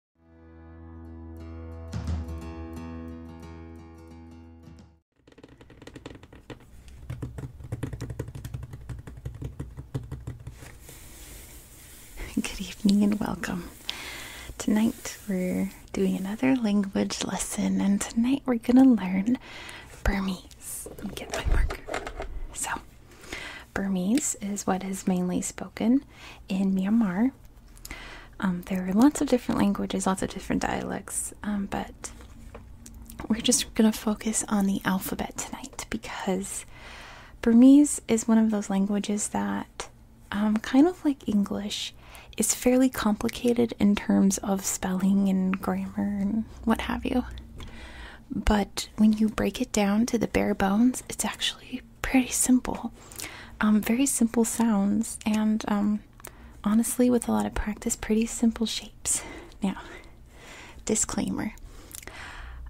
Good evening and welcome. Tonight we're doing another language lesson, and tonight we're gonna learn Burmese. Let me get my marker. So, Burmese is what is mainly spoken in Myanmar um, there are lots of different languages, lots of different dialects, um, but we're just going to focus on the alphabet tonight because Burmese is one of those languages that, um, kind of like English, is fairly complicated in terms of spelling and grammar and what have you. But when you break it down to the bare bones, it's actually pretty simple. Um, very simple sounds, and um, honestly, with a lot of practice, pretty simple shapes. Now, disclaimer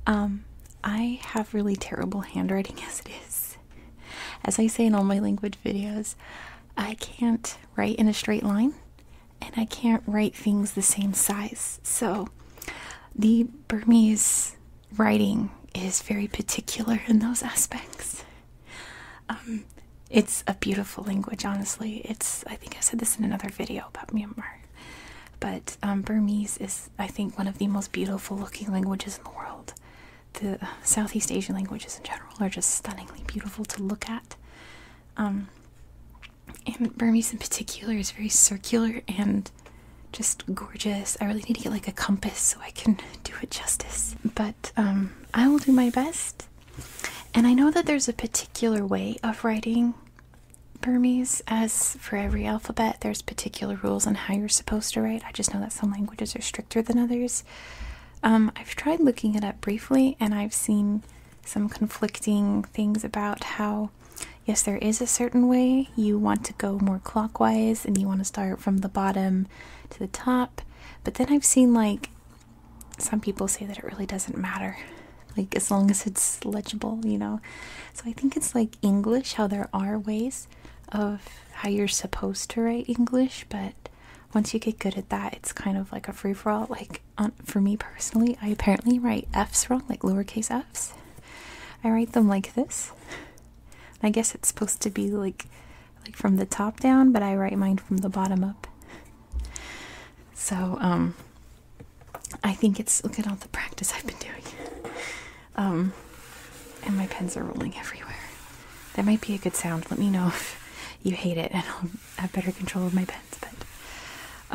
um, I have really terrible handwriting as it is. As I say in all my language videos, I can't write in a straight line and I can't write things the same size. So, the Burmese writing is very particular in those aspects. Um, it's a beautiful language, honestly. It's I think I said this in another video about Myanmar, but um, Burmese is I think one of the most beautiful looking languages in the world. The Southeast Asian languages in general are just stunningly beautiful to look at. Um, and Burmese in particular is very circular and just gorgeous. I really need to get like a compass so I can do it justice. But um, I will do my best. And I know that there's a particular way of writing Burmese, as for every alphabet, there's particular rules on how you're supposed to write. I just know that some languages are stricter than others. Um, I've tried looking it up briefly and I've seen some conflicting things about how yes, there is a certain way you want to go more clockwise and you want to start from the bottom to the top. But then I've seen like some people say that it really doesn't matter, like as long as it's legible, you know. So I think it's like English, how there are ways of how you're supposed to write English, but once you get good at that, it's kind of like a free for all. Like, for me personally, I apparently write F's wrong, like lowercase F's. I write them like this. I guess it's supposed to be like like from the top down, but I write mine from the bottom up. So um, I think it's look at all the practice I've been doing. Um and my pens are rolling everywhere. That might be a good sound. Let me know if you hate it and I'll have better control of my pens, but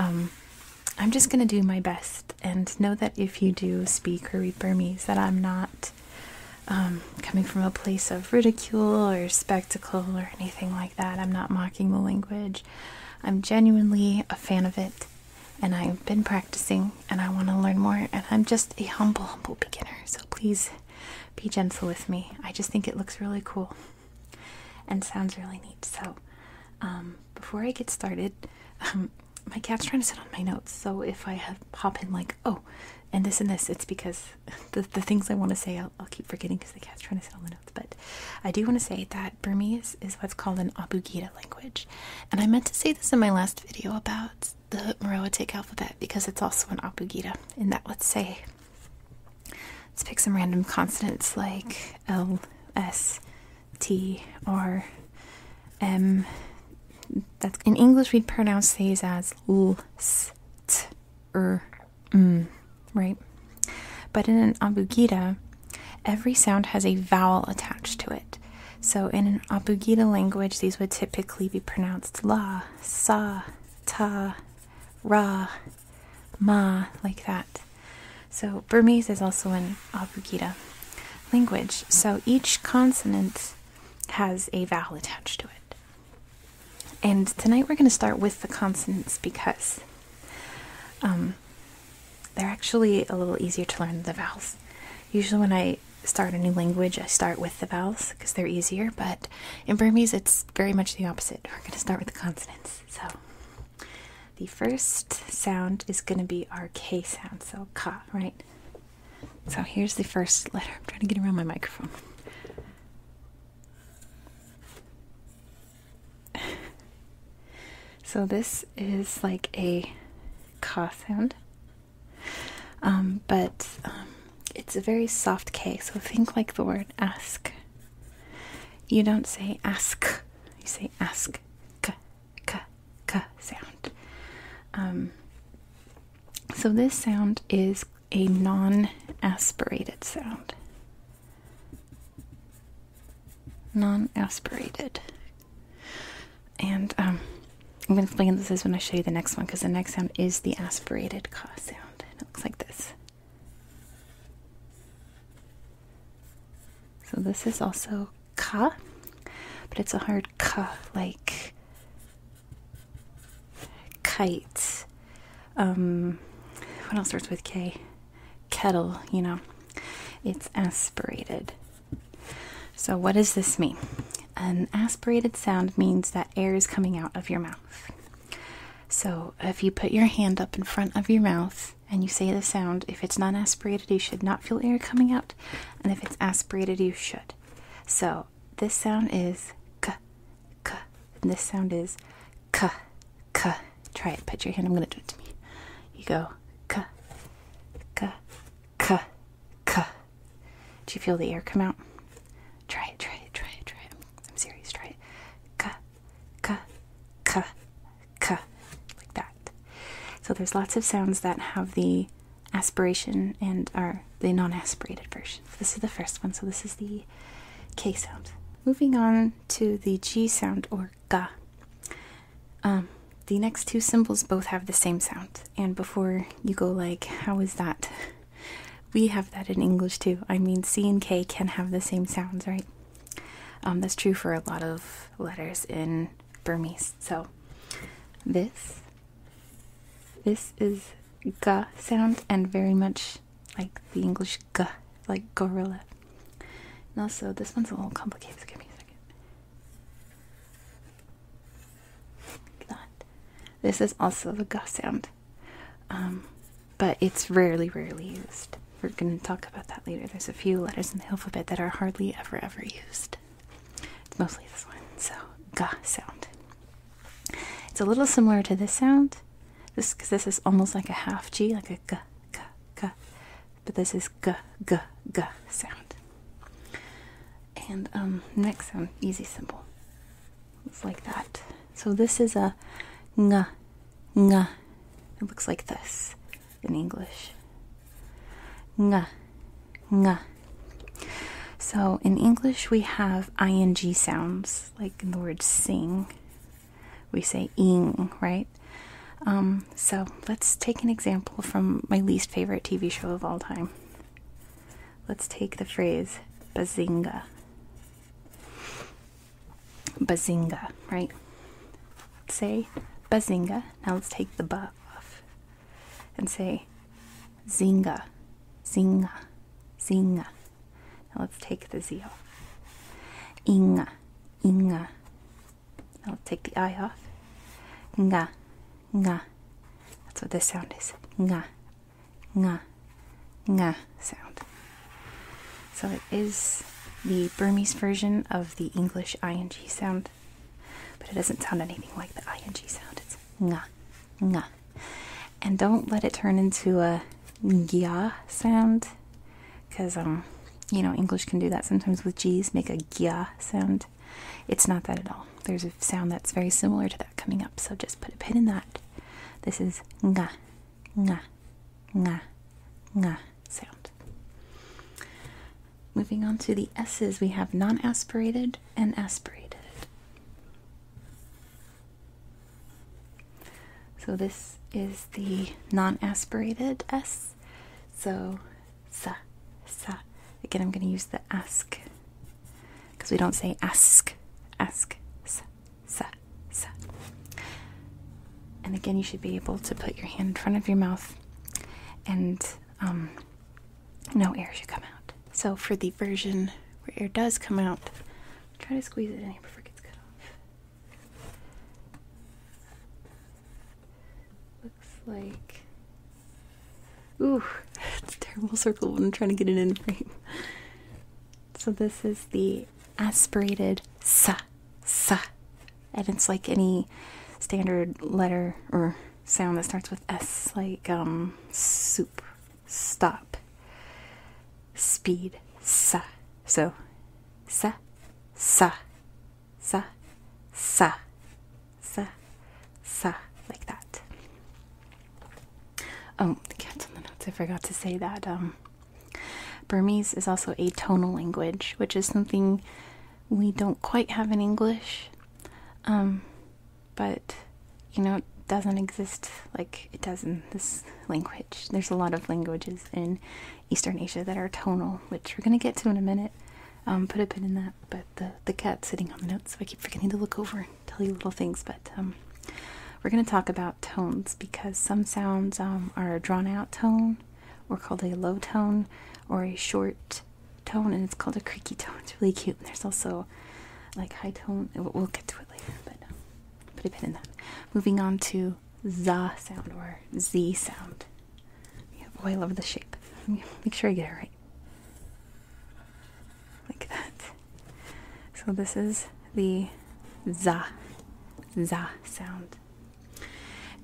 um I'm just going to do my best and know that if you do speak or read Burmese, that I'm not um, coming from a place of ridicule or spectacle or anything like that. I'm not mocking the language. I'm genuinely a fan of it, and I've been practicing, and I want to learn more. And I'm just a humble, humble beginner. So please be gentle with me. I just think it looks really cool and sounds really neat. So. Um, before I get started, um, my cat's trying to sit on my notes. So if I have, hop in like, oh, and this and this, it's because the, the things I want to say I'll, keep forgetting because the cat's trying to sit on the notes. But I do want to say that Burmese is what's called an Abugida language. And I meant to say this in my last video about the Meroitic alphabet because it's also an Abugida. And that, let's say, let's pick some random consonants like L, S, T or M. That's in English we'd pronounce these as l, s, t, r, m, right? But in an abugida, every sound has a vowel attached to it. So in an abugida language, these would typically be pronounced la, sa, ta, ra, ma, like that. So Burmese is also an abugida language. So each consonant has a vowel attached to it. And tonight we're going to start with the consonants because um, they're actually a little easier to learn than the vowels. Usually, when I start a new language, I start with the vowels because they're easier, but in Burmese, it's very much the opposite. We're going to start with the consonants. So, the first sound is going to be our K sound, so ka, right? So here's the first letter. I'm trying to get around my microphone. so this is like a ka sound, um, but um, it's a very soft K. So think like the word ask. You don't say ask, you say ask k sound. Um, so this sound is a non-aspirated sound. Non-aspirated. And um, I'm going to explain this is when I show you the next one because the next sound is the aspirated ka sound. And it looks like this. So this is also ka, but it's a hard K, like kite. Um, what else starts with K? Kettle, you know. It's aspirated. So, what does this mean? An aspirated sound means that air is coming out of your mouth. So, if you put your hand up in front of your mouth and you say the sound, if it's not aspirated, you should not feel air coming out out, and if it's aspirated, you should. So this sound is k, k, and this sound is k, k. Try it. Put your hand. I'm gonna do it to me. You go k, k, k, k. Do you feel the air come out? Try it. Try it. Try it. Try it. I'm serious. Try it. K, k, k, like that. So there's lots of sounds that have the aspiration and are the non-aspirated version. this is the first one, so this is the k sound. Moving on to the g sound or ga. Um, the next two symbols both have the same sound. And before you go like, how is that? We have that in English too. I mean, C and K can have the same sounds, right? Um, that's true for a lot of letters in Burmese. So this this is g sound and very much like the English g like gorilla. And also this one's a little complicated, give me a second. That. This is also the g sound. Um, but it's rarely rarely used. We're gonna talk about that later. There's a few letters in the alphabet that are hardly ever ever used. It's mostly this one, so gah sound. It's a little similar to this sound, this because this is almost like a half G, like a gah gah gah, but this is gah gah gah sound. And um, next sound, easy symbol. It's like that. So this is a gah gah. It looks like this in English. Nga, nga. So in English, we have ing sounds, like in the word sing. We say ing, right? Um, so let's take an example from my least favorite TV show of all time. Let's take the phrase bazinga. Bazinga, right? say bazinga. Now let's take the b and say zinga, zinga, zinga. Now let's take the Z off. Inga, inga. Now let take the I off. Ngah, ngah. That's what this sound is. Ngah, ngah, nga sound. So it is the Burmese version of the English ing sound but it doesn't sound anything like the ing sound. It's ng, nga, and don't let it turn into a gya sound, because um, you know English can do that sometimes with g's, make a gya sound. It's not that at all. There's a sound that's very similar to that coming up, so just put a pin in that. This is ng, ng, ng, nga sound. Moving on to the S's, we have non aspirated and aspirated. So this is the non aspirated S. So sa, sa. Again, I'm going to use the ask because we don't say ask, ask, sa, sa, sa. And again, you should be able to put your hand in front of your mouth and um, no air should come out. So for the version where air does come out, try to squeeze it in here before it gets cut off. Looks like. Ooh, it's a terrible circle when I'm trying to get it in frame. So this is the aspirated sa S. And it's like any standard letter or sound that starts with S, like um, soup, stop, speed, S. So, S, S, S, S, S, S, like that. Oh, the cat's on the notes. I forgot to say that. Um, Burmese is also a tonal language, which is something we don't quite have in English, um, but you know, it doesn't exist like it does in this language. There's a lot of languages in Eastern Asia that are tonal, which we're gonna get to in a minute. Um, put a pin in that, but the the cat's sitting on the notes, so I keep forgetting to look over and tell you little things. But um, we're gonna talk about tones because some sounds are a drawn out tone or called a low tone or a short tone, and it's called a creaky tone. It's really cute. And there's also like high tone. We'll get to it later, but um, put a pin in that. Moving on to the sound or z sound. Yeah, boy, I love the shape. Make sure I get it right. Like that. So this is the za, za sound.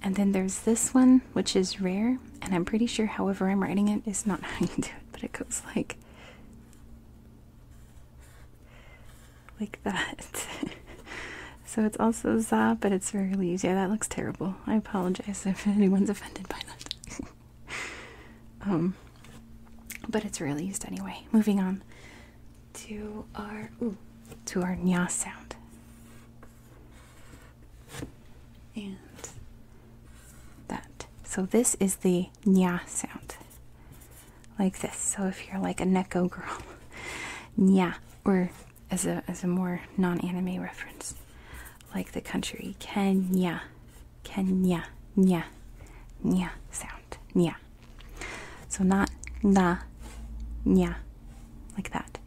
And then there's this one, which is rare, and I'm pretty sure however I'm writing it is not how you do it, but it goes like like that. so it's also za, but it's very used. Yeah, that looks terrible. I apologize if anyone's offended by that. um but it's rarely used anyway. Moving on to our ooh, to our nya sound and that. So this is the nya sound, like this. So if you're like a neko girl, nya, or as a as a more non-anime reference, like the country Kenya, Kenya, nya, nya sound, nya. So not na, nya, like that.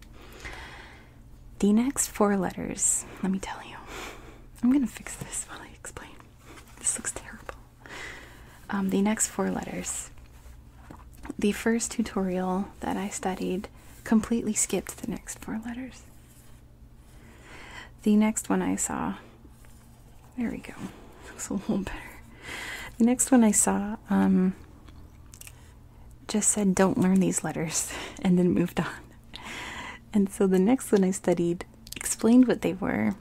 The next four letters, let me tell you. I'm going to fix this while I explain. This looks terrible. Um, the next four letters. The first tutorial that I studied completely skipped the next four letters. The next one I saw, there we go, looks a little better. The next one I saw um, just said, don't learn these letters, and then moved on. And so the next one I studied explained what they were,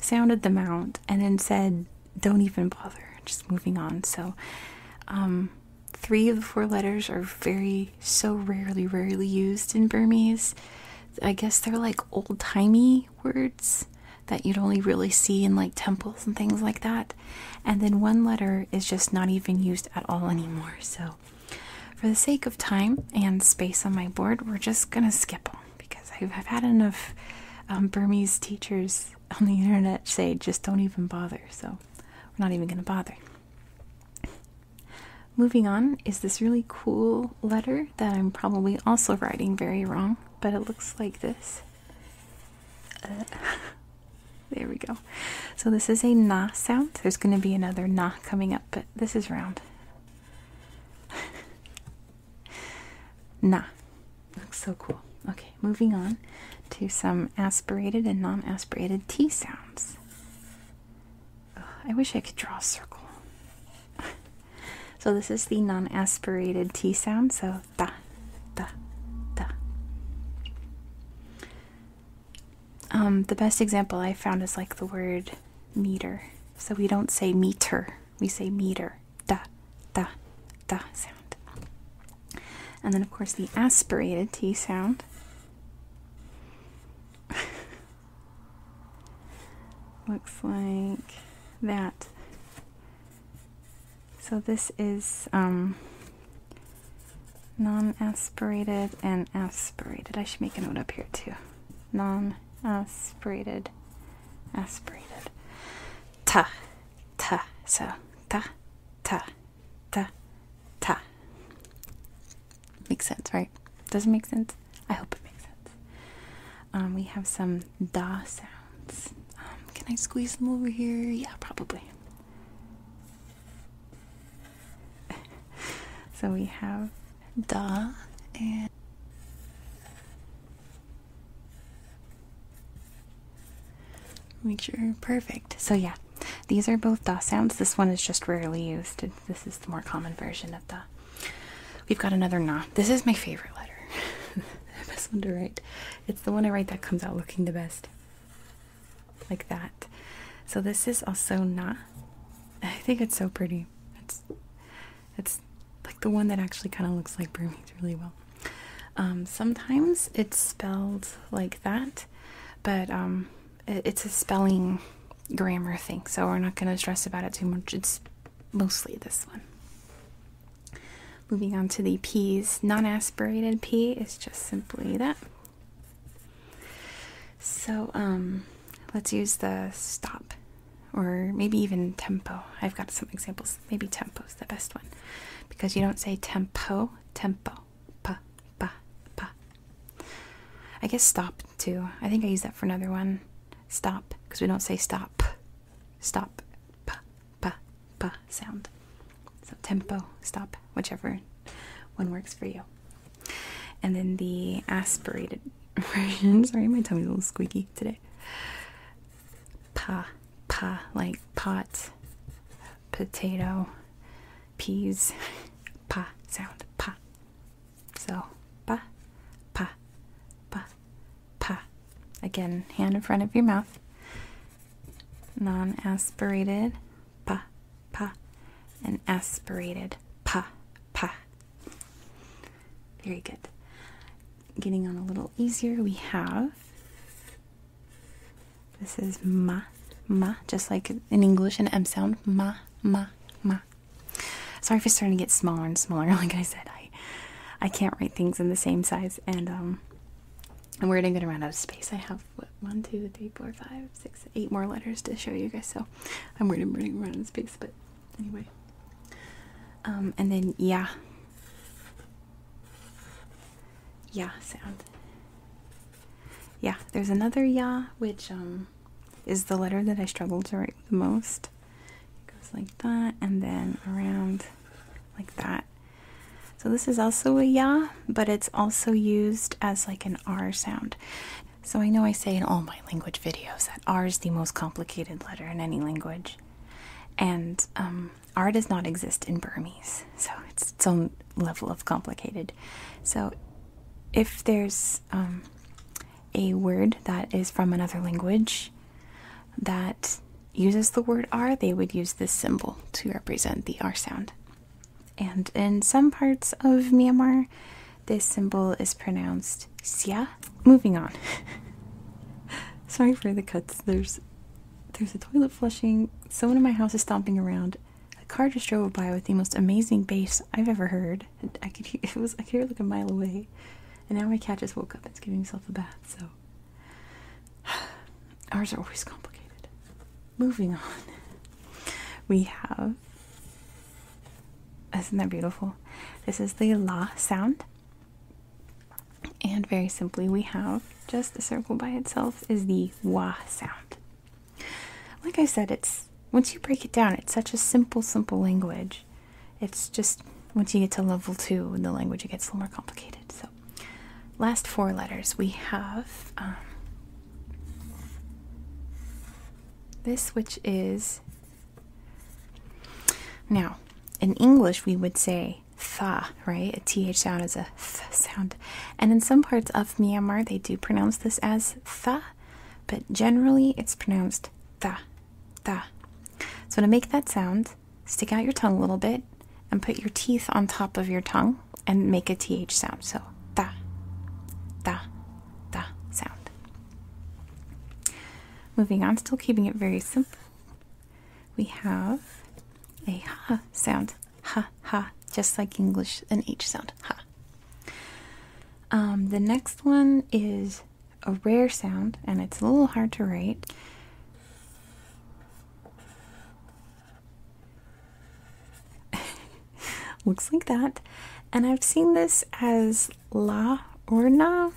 sounded them out, and then said, don't even bother, just moving on. So, um, three of the four letters are very, so rarely, rarely used in Burmese. I guess they're like old timey words that you'd only really see in like temples and things like that and then one letter is just not even used at all anymore. So, for the sake of time and space on my board, we're just gonna skip them because I've, had enough um, Burmese teachers on the internet say just don't even bother. So, we're not even gonna bother. Moving on is this really cool letter that I'm probably also writing very wrong, but it looks like this. Uh, There we go. So this is a na sound. There's going to be another na coming up, but this is round. na. Looks so cool. Okay, moving on to some aspirated and non-aspirated T sounds. I wish I could draw a circle. so this is the non-aspirated T sound. So ta, ta, ta. Um, the best example I found is like the word meter. So we don't say meter, we say meter. Da, da, da sound. And then, of course, the aspirated T sound. Looks like that. So this is um, non-aspirated and aspirated. I should make a note up here too. Non-aspirated, aspirated. Ta, ta. So ta, ta, ta, ta. Makes sense, right? Doesn't make sense? I hope it makes sense. Um, we have some da sounds. Um, can I squeeze them over here? Yeah, probably. so we have da and make sure perfect. So yeah, these are both da sounds. This one is just rarely used. This is the more common version of da. We've got another na. This is my favorite letter. the best one to write. It's the one I write that comes out looking the best like that. So this is also not. I think it's so pretty. It's it's like the one that actually kind of looks like Burmese really well. Um, sometimes it's spelled like that, but um, it's a spelling grammar thing, so we're not going to stress about it too much. It's mostly this one. Moving on to the P's, non aspirated P is just simply that. So um, let's use the stop or maybe even tempo. I've got some examples. Maybe tempo is the best one because you don't say tempo, tempo, pa, pa, pa. I guess stop too. I think I use that for another one. Stop because we don't say stop, stop, pa, pa, pa sound. So tempo, stop, whichever one works for you. And then the aspirated version. Sorry, my tummy's a little squeaky today. Pa, pa, like pot, potato, peas, pa sound, pa. So pa, pa, pa, pa. Again, hand in front of your mouth non aspirated pa pa and aspirated pa pa. Very good. Getting on a little easier, we have this is ma ma, just like in English an M sound ma ma ma. Sorry if it's starting to get smaller and smaller. Like I said, I I can't write things in the same size, and um, and we're going to run out of space. I have what, one, two, three, four, five, six, eight more letters to show you guys. So I'm worried I'm running out of space, but anyway. Um, and then yeah, yeah sound. Yeah, there's another yeah, which um, is the letter that I struggle to write the most. It goes like that, and then around like that, so this is also a ya, but it's also used as like an R sound. So I know I say in all my language videos that R is the most complicated letter in any language. And um, R does not exist in Burmese, so it's its own level of complicated. So if there's um, a word that is from another language, that uses the word R, they would use this symbol to represent the R sound. And in some parts of Myanmar, this symbol is pronounced sia. Moving on. Sorry for the cuts. There's there's a toilet flushing. Someone in my house is stomping around. A car just drove by with the most amazing bass I've ever heard. I could hear, it was I could hear it like a mile away. And now my cat just woke up. It's giving itself a bath. So Ours are always complicated. Moving on, we have. Isn't that beautiful? This is the la sound. And very simply, we have just a circle by itself is the wa sound. Like I said, it's once you break it down, it's such a simple, simple language. It's just once you get to level two in the language, it gets a little more complicated. So Last four letters we have um, this, which is now in English we would say "th," right? A th sound is a th sound, and in some parts of Myanmar they do pronounce this as "th," but generally it's pronounced "th," tha. So to make that sound, stick out your tongue a little bit and put your teeth on top of your tongue and make a th sound. So th da, da sound. Moving on, still keeping it very simple. We have a ha sound, ha ha, just like English, an h sound, ha. Um, the next one is a rare sound, and it's a little hard to write. Looks like that. And I've seen this as La or na.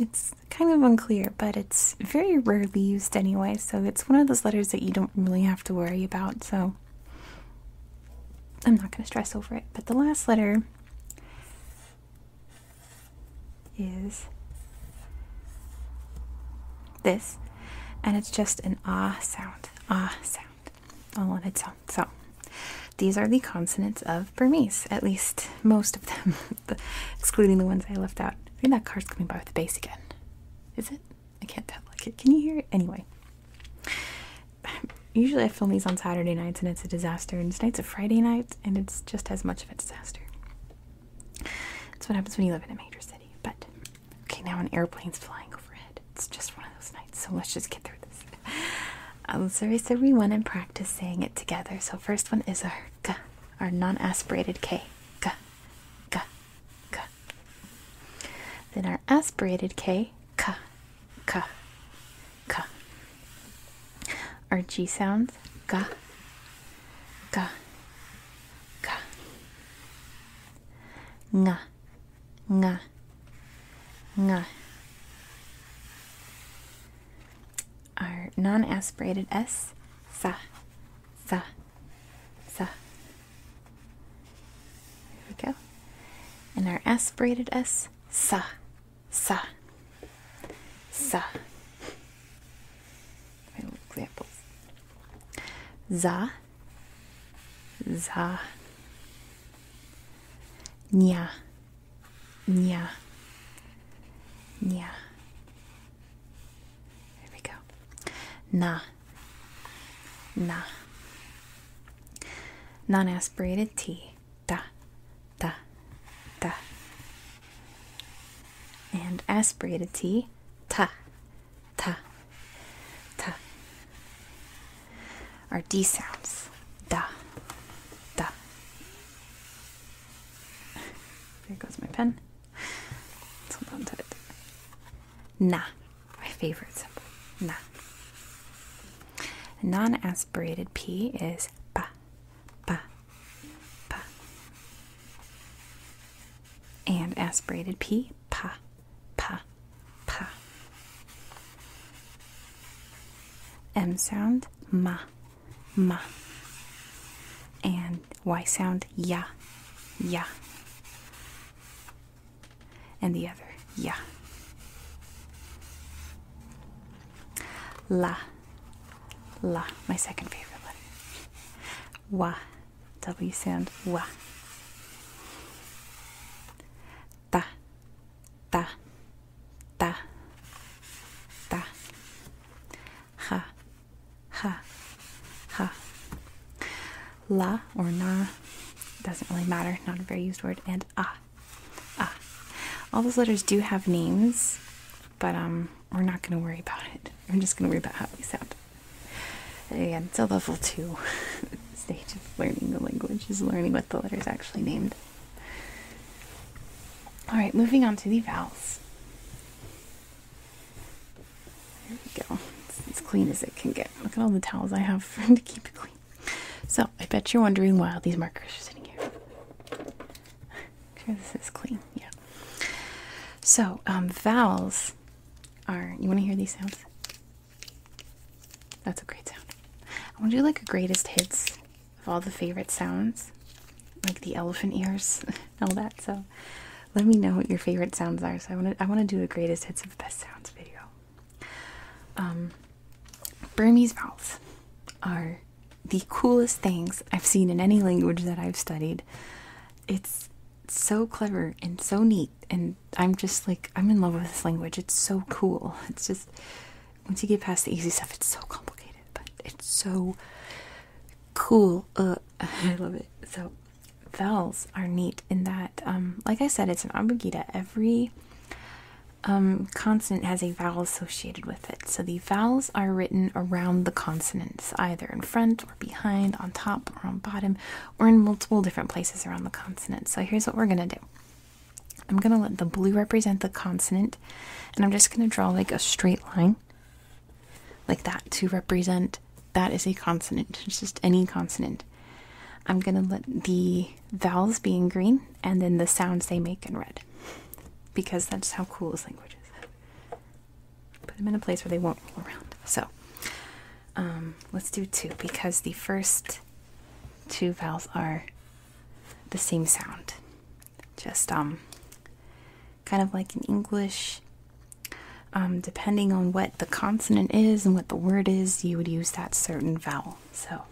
It's kind of unclear, but it's very rarely used anyway, so it's one of those letters that you don't really have to worry about, so I'm not going to stress over it. But the last letter is this, and it's just an ah sound, ah sound, all on its sound. So these are the consonants of Burmese, at least most of them, excluding the ones I left out. I think that car's coming by with the bass again. Is it? I can't tell. Like it. Can you hear it? Anyway. Usually I film these on Saturday nights and it's a disaster, and tonight's a Friday night and it's just as much of a disaster. That's what happens when you live in a major city. But okay, now an airplane's flying overhead. It's just one of those nights, so let's just get through this. Um, so race everyone and practice saying it together. So first one is our g, our non-aspirated k, g, g, g. Then our aspirated k, k, k, k. Our g sounds, g, ga ga nga nga nga our non-aspirated s sa sa sa there we go and our aspirated s sa sa sa examples. Za, za. Nya, nya, nya. There we go. Na, na. Non aspirated T. Da, da, da and aspirated t ta ta ta are d sounds da da there goes my pen it's na my favorite symbol na non-aspirated p is pa pa, pa. And aspirated P, pa, pa, pa. M sound, ma, ma. And Y sound, ya, ya. And the other, ya. La, La, my second favorite letter. Wa, W sound, wa. Da, da, da, da. Ha, ha, ha. La or na doesn't really matter, not a very used word, and ah. Ah. All those letters do have names, but um, we're not going to worry about it. We're just going to worry about how we sound. Again, it's a level two stage of learning the language, is learning what the letters actually named. All right, moving on to the vowels. There we go. as clean as it can get. Look at all the towels I have to keep it clean. So, I bet you're wondering why these markers are sitting here. Sure, this is clean. Yeah. So um, vowels are. You want to hear these sounds? That's a great sound. I want to do like a greatest hits of all the favorite sounds, like the elephant ears and all that. So let me know what your favorite sounds are. So I want to. I want to do a greatest hits of the best sounds video. Um, Burmese vowels are the coolest things I've seen in any language that I've studied. It's so clever and so neat, and I'm just like, I'm in love with this language. It's so cool. It's just, once you get past the easy stuff, it's so complicated, but it's so cool. Uh, I love it. So, vowels are neat in that, um, like I said, it's an abugida. Every um, consonant has a vowel associated with so the vowels are written around the consonants, either in front or behind, on top or on bottom, or in multiple different places around the consonant. So here's what we're going to do I'm going to let the blue represent the consonant, and I'm just going to draw like a straight line like that to represent that is a consonant, it's just any consonant. I'm going to let the vowels be in green and then the sounds they make in red because that's how cool this language is. Put them in a place where they won't roll around. So um, let's do two because the first two vowels are the same sound. Just um, kind of like in English, um, depending on what the consonant is and what the word is, you would use that certain vowel. So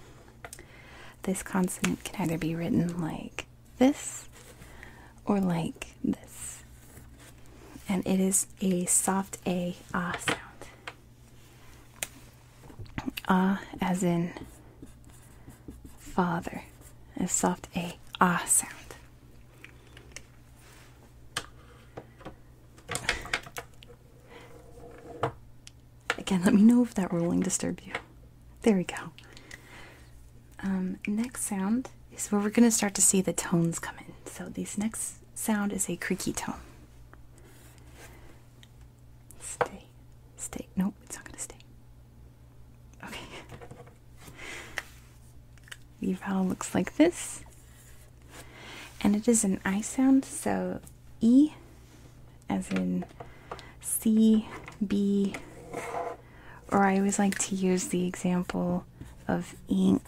this consonant can either be written like this or like this. And it is a soft A ah sound. Ah as in father. A soft A ah sound. Again, let me know if that rolling disturbed you. There we go. Um, next sound is where we're going to start to see the tones come in. So this next sound is a creaky tone. Stay. Stay. No, it's not going to stay. Okay. The vowel looks like this. And it is an I sound, so E as in C, B, or I always like to use the example of ink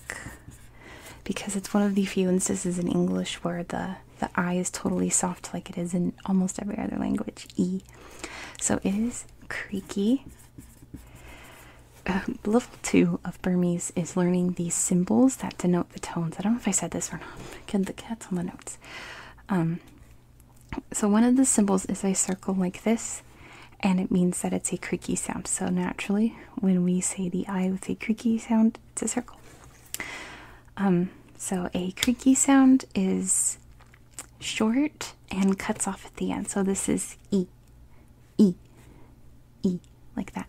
because it's one of the few instances in English where the the I is totally soft like it is in almost every other language. E. So it is creaky. Um, level 2 of Burmese is learning these symbols that denote the tones. I don't know if I said this or not. Get the cats on the notes. Um, so one of the symbols is a circle like this, and it means that it's a creaky sound. So naturally, when we say the I with a creaky sound, it's a circle. Um, so a creaky sound is short and cuts off at the end. So this is E, E, E, like that.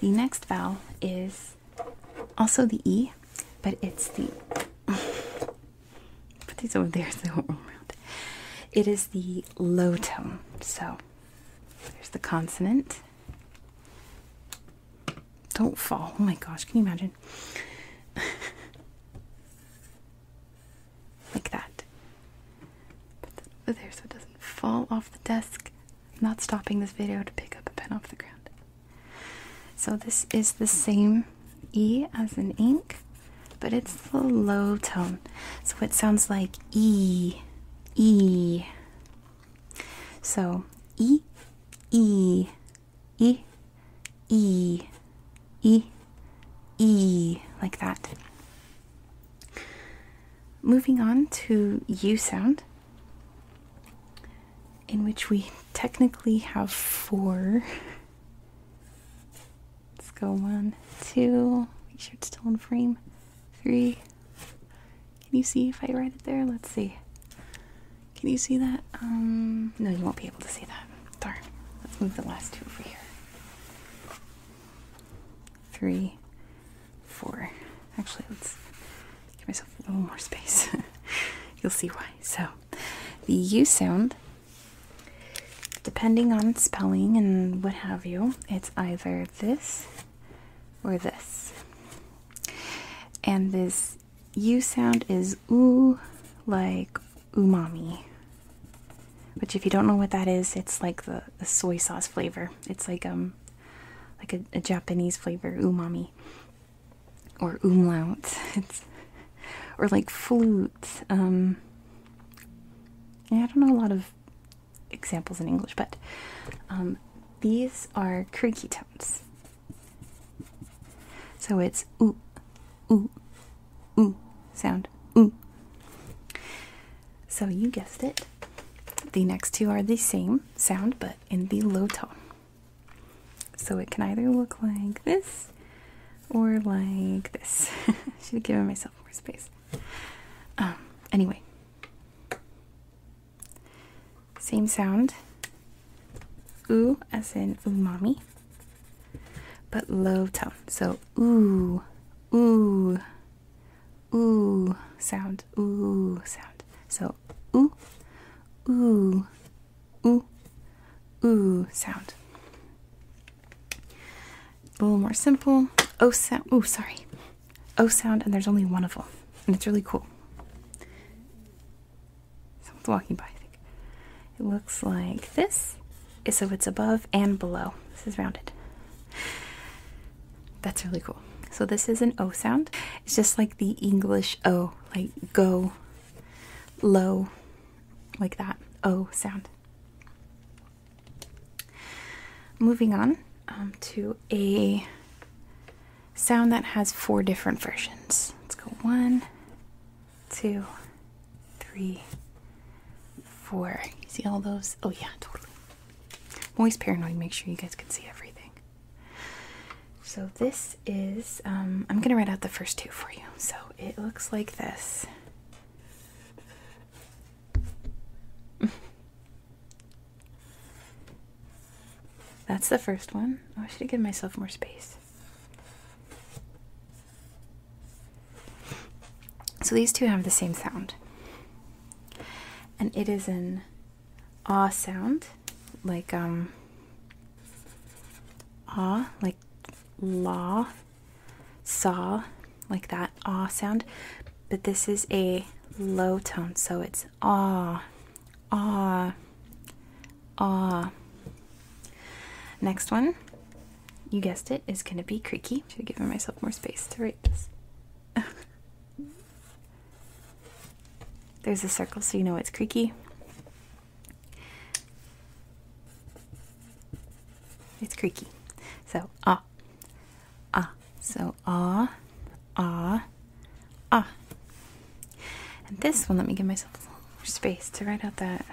The next vowel is also the E, but it's the Put these over there so they won't roll around. It is the low tone. So there's the consonant. Don't fall. Oh my gosh, can you imagine? like that. Put that over there so it doesn't fall off the desk. I'm not stopping this video to pick up a pen off the ground. So this is the same E as an ink, but it's the low tone. So it sounds like E. E. So E, E, E, E, E, E, like that. Moving on to U sound, in which we technically have four Let's go one, two. Make sure it's still in frame. Three. Can you see if I write it there? Let's see. Can you see that? Um, no, you won't be able to see that. Sorry. Let's move the last two over here. Three, four. Actually, let's give myself a little more space. You'll see why. So, the U sound Depending on spelling and what have you, it's either this or this. And this U sound is oo, like umami. Which, if you don't know what that is, it's like the, soy sauce flavor. It's like um, like a Japanese flavor, umami or umlauts, or like flutes. Um, I don't know a lot of examples in English, but um, these are creaky tones. So it's ooh, oo, oo sound. Ooh. So you guessed it. The next two are the same sound, but in the low tone. So it can either look like this or like this. Should have given myself more space. Um, anyway, same sound. oo as in umami, but low tone. So oo, ooh, ooh sound, Oo sound. So oo, oo ooh, ooh sound. A little more simple. O sound. O, sorry. O sound, and there's only one of them, and it's really cool. Someone's walking by. I think it looks like this. So it's above and below. This is rounded. That's really cool. So this is an O sound. It's just like the English O, like go, low, like that O oh, sound. Moving on um, to a sound that has four different versions. Let's go one, two, three, four. You see all those? Oh, yeah, totally. i always paranoid, make sure you guys can see everything. So this is, um, I'm going to write out the first two for you. So it looks like this. That's the first one. Oh, I should have given myself more space. So these two have the same sound. And it is an ah sound, like um ah, like law, saw, like that ah sound, but this is a low tone, so it's ah, ah, ah. Next one, you guessed it, is gonna be creaky. Should have given myself more space to write this. There's a circle, so you know it's creaky. It's creaky. So ah, ah. So ah, ah, ah. And this one, let me give myself space to write out that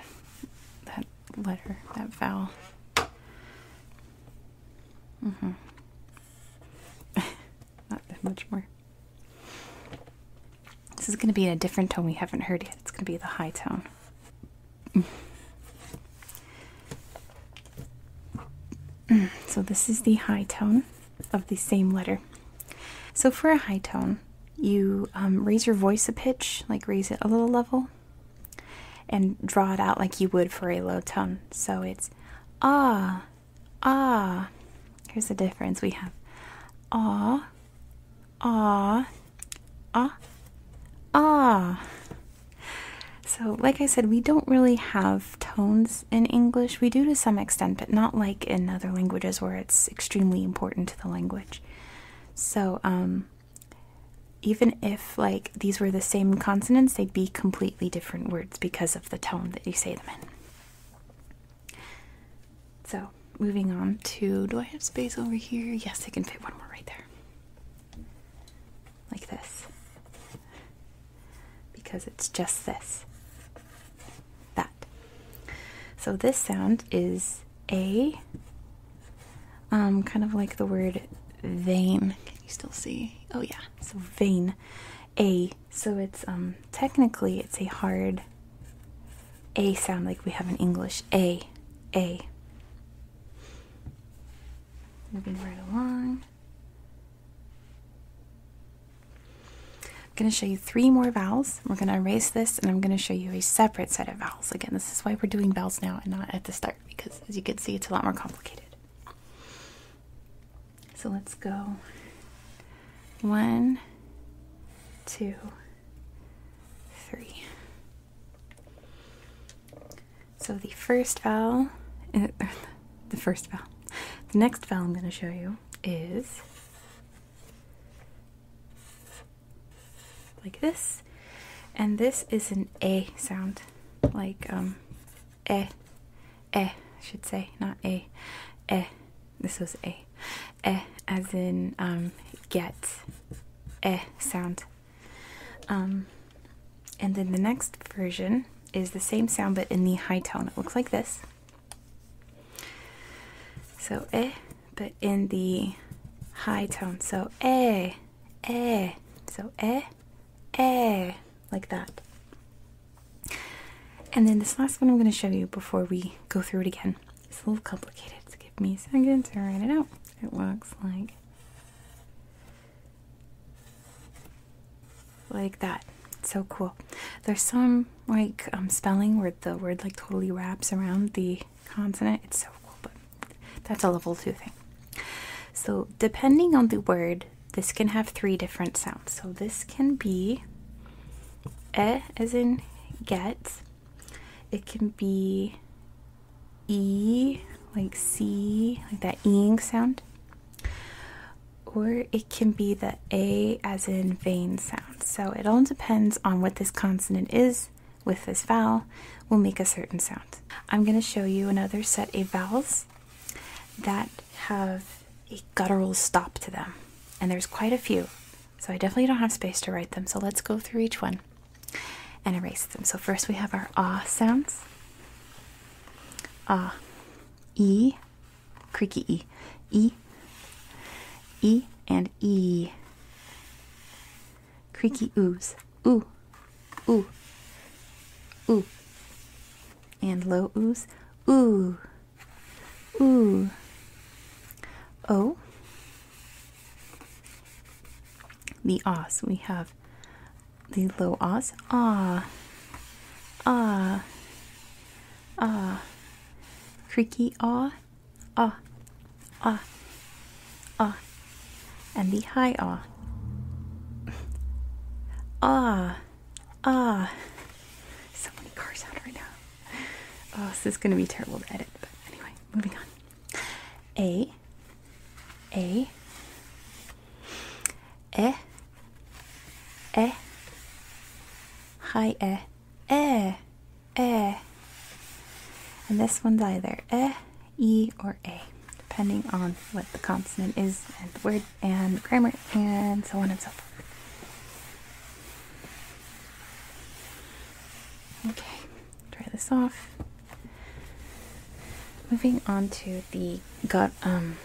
that letter, that vowel. Mm-hmm. Not that much more. This is going to be in a different tone we haven't heard yet. It's going to be the high tone. Mm. so, this is the high tone of the same letter. So, for a high tone, you um, raise your voice a pitch, like raise it a little level, and draw it out like you would for a low tone. So, it's ah, ah. Here's the difference we have ah, ah, ah, ah. So, like I said, we don't really have tones in English. We do to some extent, but not like in other languages where it's extremely important to the language. So, um, even if like these were the same consonants, they'd be completely different words because of the tone that you say them in. So, moving on to do I have space over here? Yes, I can fit one more right there. Like this. Because it's just this. That. So, this sound is A, um, kind of like the word vein. Can you still see? Oh, yeah. So, vein. A. So, it's um, technically it's a hard a sound like we have in English. A, A. Moving right along. I'm going to show you three more vowels. We're going to erase this and I'm going to show you a separate set of vowels. Again, this is why we're doing vowels now and not at the start because as you can see, it's a lot more complicated. So let's go one, two, three. So the first vowel, eh, the first vowel, the next vowel I'm going to show you is like this, and this is an a sound, like um, eh, eh, I should say, not a, eh. This was a, eh as in um, get eh sound. Um, and then the next version is the same sound but in the high tone. It looks like this. So eh, but in the high tone. So E, eh, E, eh. So E, eh, E, like that. And then this last one I'm going to show you before we go through it again it's a little complicated, so give me a second to write it out. It looks like like that. so cool. There's some like um, spelling where the word like totally wraps around the consonant. It's so cool, but that's a level two thing. So depending on the word, this can have three different sounds. So this can be e as in get. It can be e, like c, like that eing sound. Or it can be the a as in vain sound. So it all depends on what this consonant is with this vowel will make a certain sound. I'm going to show you another set of vowels that have a guttural stop to them. And there's quite a few. So I definitely don't have space to write them. So let's go through each one and erase them. So first we have our ah sounds. Ah, e, creaky e, e, e, and e. Creaky oohs, oo, oo, oo, and low oohs, oo. Ooh. Oh. The os. We have the low os. Ah. Ah. Ah. Creaky ah. Ah. Ah. Ah. And the high ah. Ah. Ah. So many cars out right now oh, this is going to be terrible to edit. But anyway, moving on. A, A, E, E, high E, E, E. And this one's either E, E, or A, depending on what the consonant is, and the word, and grammar, and so on and so forth. Okay, dry this off. Moving on to the gut um,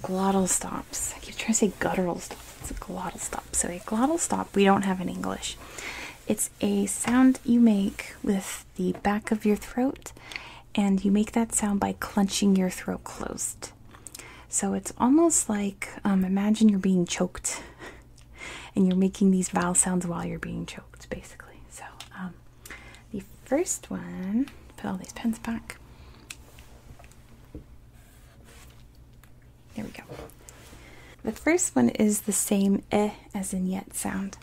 glottal stops. I keep trying to say guttural It's a glottal stop. So a glottal stop we don't have in English. It's a sound you make with the back of your throat, and you make that sound by clenching your throat closed. So it's almost like um, imagine you're being choked and you're making these vowel sounds while you're being choked, basically. So um, the first one, put all these pens back. There we go. The first one is the same eh as in yet sound.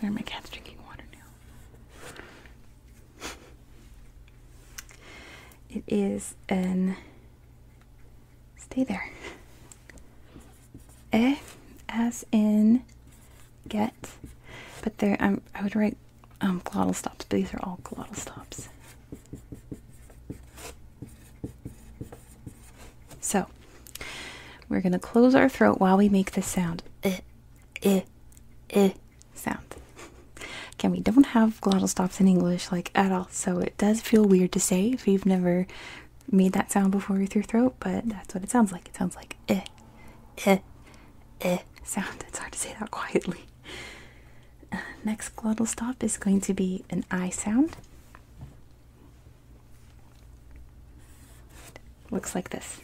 There, my cat's drinking water now it is an stay there. Eh, as in get, but there I would write um, glottal stops, but these are all glottal stops. So we're gonna close our throat while we make this sound. Eh, eh, eh, sound. Can we don't have glottal stops in English like at all, so it does feel weird to say if you've never made that sound before with your throat, but that's what it sounds like. It sounds like eh, eh, eh sound. It's hard to say that quietly. next glottal stop is going to be an I sound. Looks like this.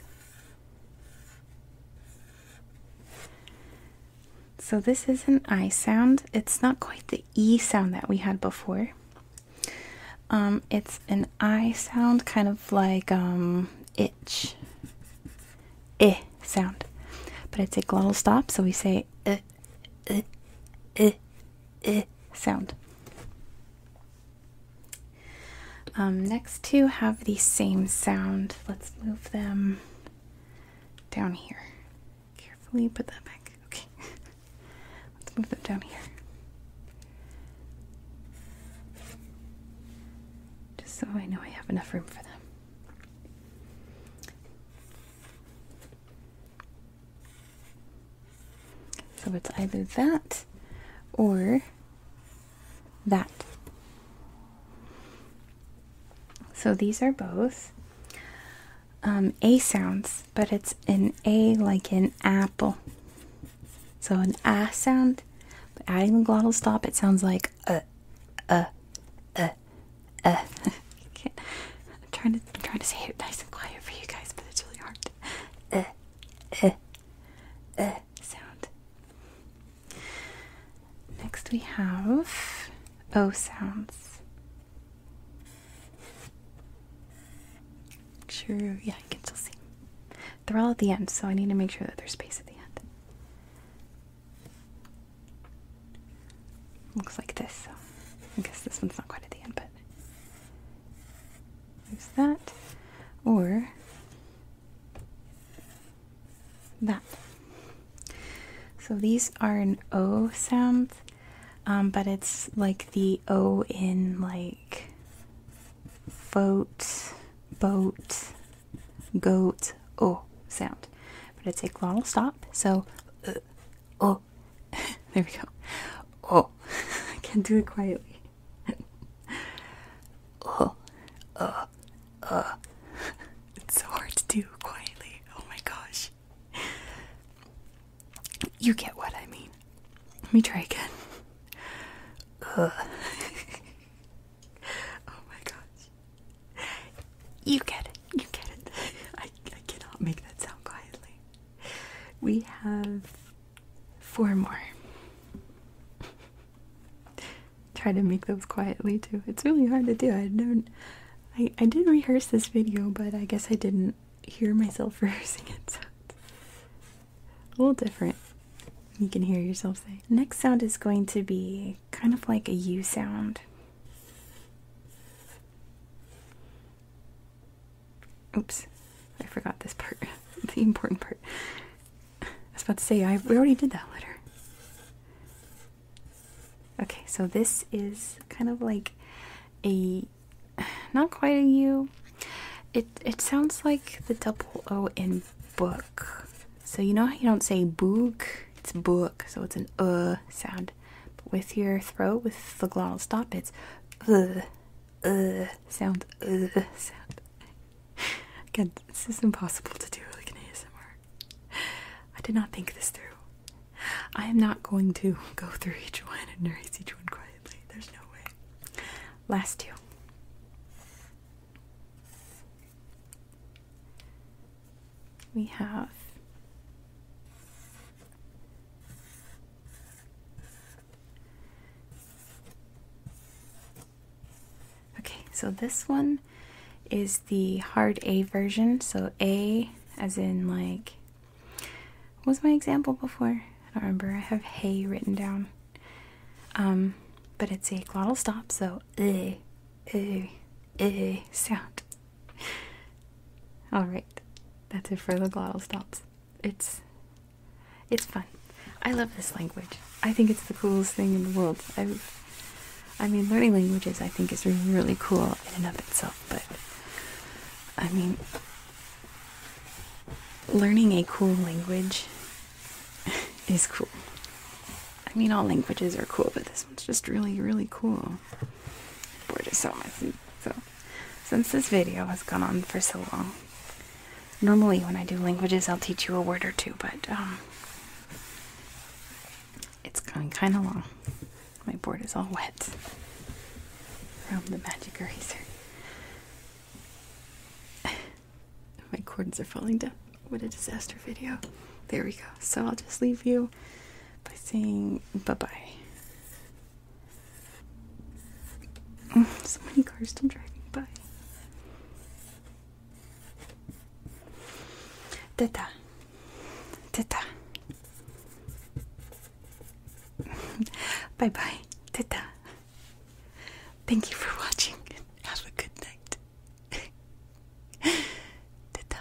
So this is an I sound. It's not quite the E sound that we had before. Um, it's an I sound, kind of like um, itch, eh sound. But it's a glottal stop, so we say eh, eh, eh, eh sound. Um, next two have the same sound. Let's move them down here. Carefully put that back. Okay. Let's move them down here. Just so I know I have enough room for them. So it's either that or that. So these are both um, A sounds, but it's an A like an apple. So an ah sound, but adding the glottal stop, it sounds like uh, uh, uh, uh. I'm trying to I'm trying to say it nice and quiet for you guys, but it's really hard. uh, uh, uh sound. Next we have O sounds. sure, yeah, you can still see. They're all at the end, so I need to make sure that there's space at the end. Looks like this, so I guess this one's not quite at the end, but there's that. Or that. So these are an O sound, um, but it's like the O in like boat, boat, goat, O sound. But it's a glottal stop, so uh, oh, there we go. Oh, I can do it quietly. uh, uh, uh. It's so hard to do quietly. Oh my gosh. You get what I mean. Let me try again. Uh. oh my gosh. You get it. You get it. I, I cannot make that sound quietly. We have four more. Try to make those quietly too. It's really hard to do. I never I I did rehearse this video, but I guess I didn't hear myself rehearsing it. a little different. You can hear yourself say. Next sound is going to be kind of like a U sound. Oops, I forgot this part, the important part. I was about to say, I, we already did that letter. Okay, so this is kind of like a not quite a U. It it sounds like the double O in book. So you know you don't say book, it's book, so it's an uh sound. But with your throat, with the glottal stop, it's uh uh sound uh sound. Again, this is impossible to do like an ASMR. I did not think this through. I am not going to go through each one and erase each one quietly. There's no way. Last two. We have Okay, so this one is the hard A version. So A as in like was my example before? I don't remember. I have hay written down. Um, but it's a glottal stop, so uh, uh, uh sound. Alright, that's it for the glottal stops. It's it's fun. I love this language. I think it's the coolest thing in the world. I, I mean, learning languages I think is really, really cool in and of itself, but I mean, learning a cool language is cool. I mean, all languages are cool, but this one's just really, really cool. Bored is so messy. So, since this video has gone on for so long, Normally, when I do languages, I'll teach you a word or two, but um, it's going kind of long. My board is all wet from the magic eraser. My cords are falling down. What a disaster video. There we go. So I'll just leave you by saying bye bye. Mm, so many cars still driving by. Teta. Teta. bye bye. Teta. Thank you for watching. Have a good night. Teta.